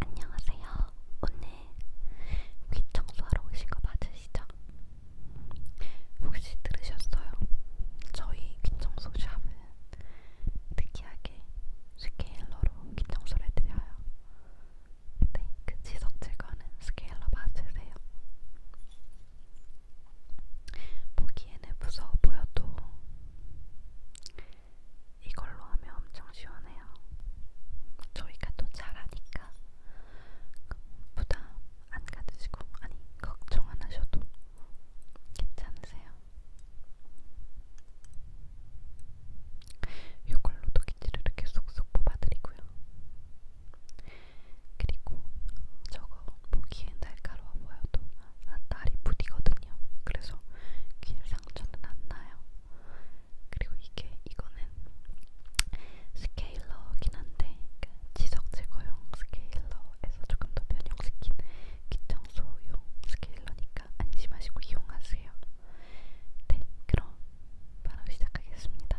안녕하세요. 오늘 귀 청소하러 오신 거 맞으시죠? 혹시 들으셨어요? 저희 귀 청소 샵은 특이하게 스케일러로 귀 청소를 해드려요. 네, 그 지석 제거는 스케일러 맞으세요. 보기에는 무서워 보여도 이걸로 하면 엄청 시원해요. 저희가 또 잘하니까 부담 안 가지시고 아니 걱정 안 하셔도 괜찮으세요. 이걸로도 기지를 이렇게 쏙쏙 뽑아드리고요. 그리고 저거 보기엔 날카로워 보여도 날이 부디거든요. 그래서 귀 상처는 안 나요. 그리고 이게 이거는 스케일러긴 한데 그러니까 지석 제거용 스케일러에서 조금 더 변형시킨 귀청소용 스케일러니까 안심하시고 이용하세요. 네, 그럼 바로 시작하겠습니다.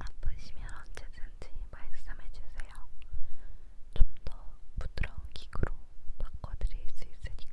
아프시면 언제든지 말씀해주세요. 좀 더 부드러운 기구로 바꿔드릴 수 있으니까.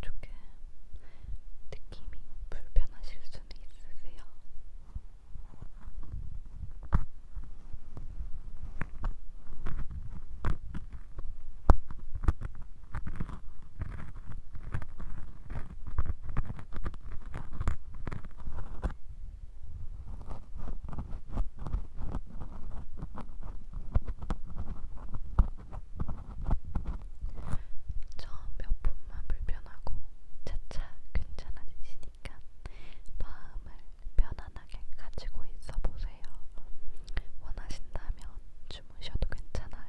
조금 느낌이 불편하실 수는 있으세요. 처음 몇 분만 불편하고 차차 괜찮아지시니까 마음을 편안하게 가지고 있어 보세요. 원하신다면 주무셔도 괜찮아요.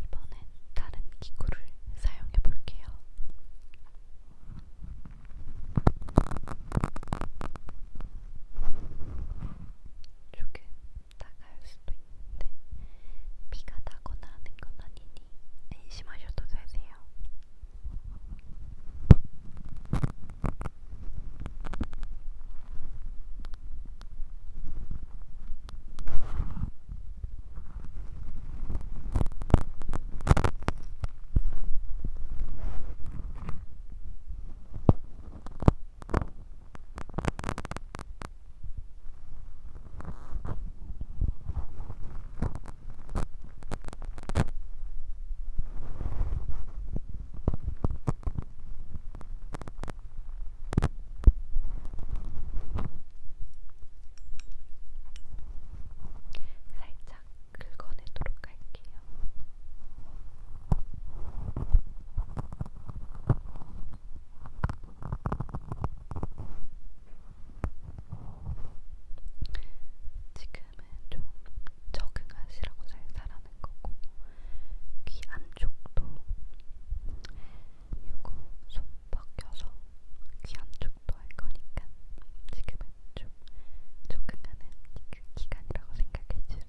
이번엔 다른 기구를 사용해 볼게요. 조금 나갈 수도 있는데 비가 나거나 하는 건 아니니 안심하셔도 되세요. 살짝 긁어내도록 할게요. 지금은 좀 적응하시라고 잘 자라는 거고 귀 안쪽도 요거 손 벗겨서 귀 안쪽도 할 거니까 지금은 좀 적응하는 그 기간이라고 생각해 주세요.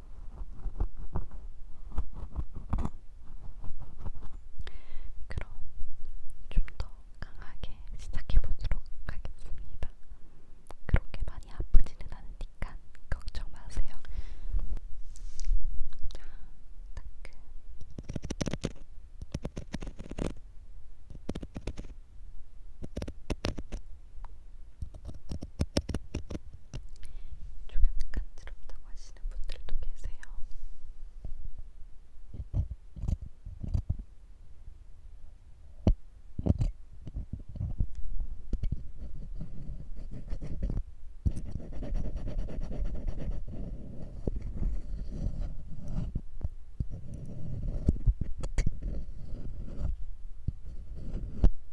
그럼 좀 더 강하게 시작해보도록 하겠습니다. 그렇게 많이 아프지는 않으니까 걱정 마세요. 자, 따끔. 조금 간지럽다고 하시는 분들도 계세요. 네,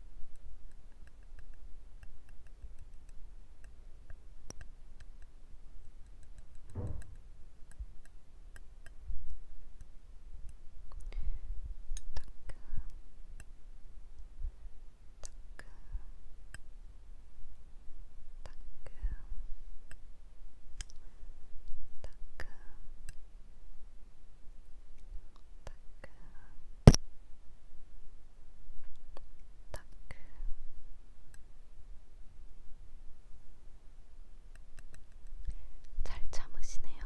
따끔 잘 참으시네요.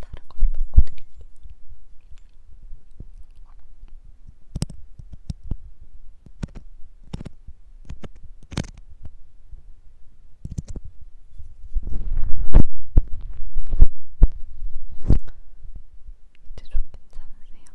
다른 걸로 바꿔드릴게요. 이제 좀 괜찮으세요? 네.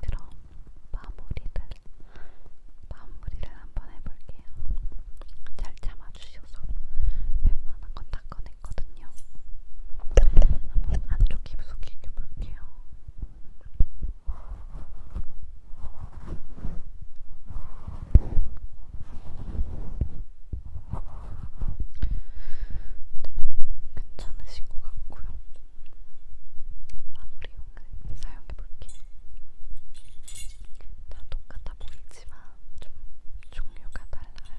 그럼 마무리를 마무리를 한번 해볼게요. 잘 참아주셔서 웬만한 건 닦아냈거든요. 한번 안쪽 깊숙 익혀볼게요. 네, 괜찮으신 것 같고요. 마무리용을 사용해볼게요. 다 똑같아 보이지만 좀 종류가 달라요.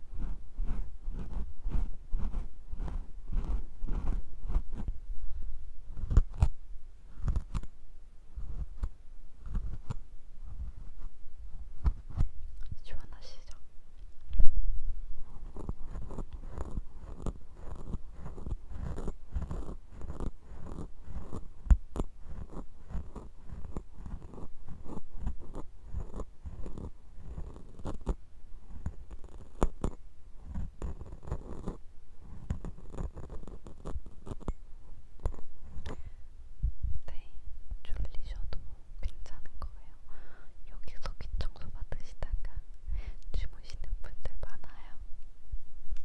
시원하시죠? 네, 졸리셔도 괜찮은 거예요. 여기서 귀 청소 받으시다가 주무시는 분들 많아요. 네,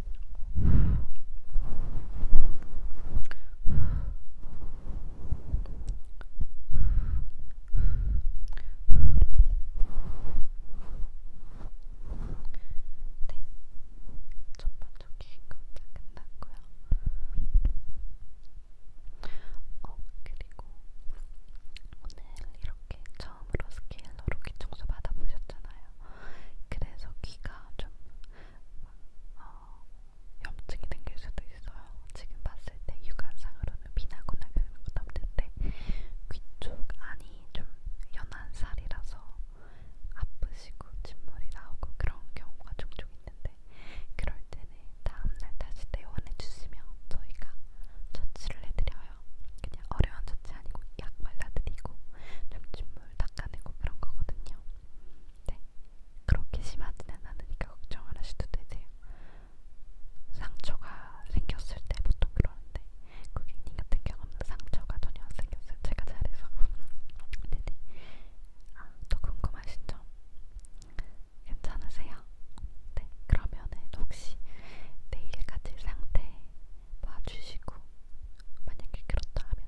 첫번째 네, 기획도 끝났고요. 어, 그리고 오늘 이렇게 처음 처음으로 스케일러로 귀 청소 받아보셨잖아요. 그래서 귀가 좀 어, 염증이 생길 수도 있어요. 지금 봤을 때 육안상으로는 비나거나 그런 것도 없는데 귀쪽 안이 좀 연한 살이라서 아프시고 진물이 나오고 그런 경우가 종종 있는데 그럴 때는 다음날 다시 내원해 주시면 저희가 처치를 해드려요. 거예요. 그냥 어려운 자체 아니고 약 발라드리고 잠진물 닦아내고 그런 거거든요. 네, 그렇게 심하지는 않으니까 걱정 안 하셔도 되세요. 상처가 생겼을 때 보통 그러는데 고객님 같은 경우는 상처가 전혀 안 생겼어요. 제가 잘해서. 네네. 아, 또 궁금하신 점? 괜찮으세요? 네, 그러면은 혹시 내일까지 상태 봐주시고 만약에 그렇다 하면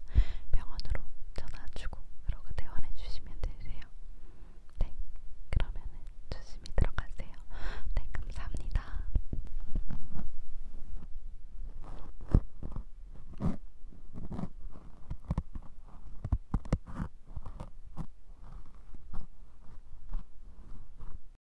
병원으로 전화주고 그러고 대원해주시면 되세요. 네, 그러면은 조심히 들어가세요. 네, 감사합니다.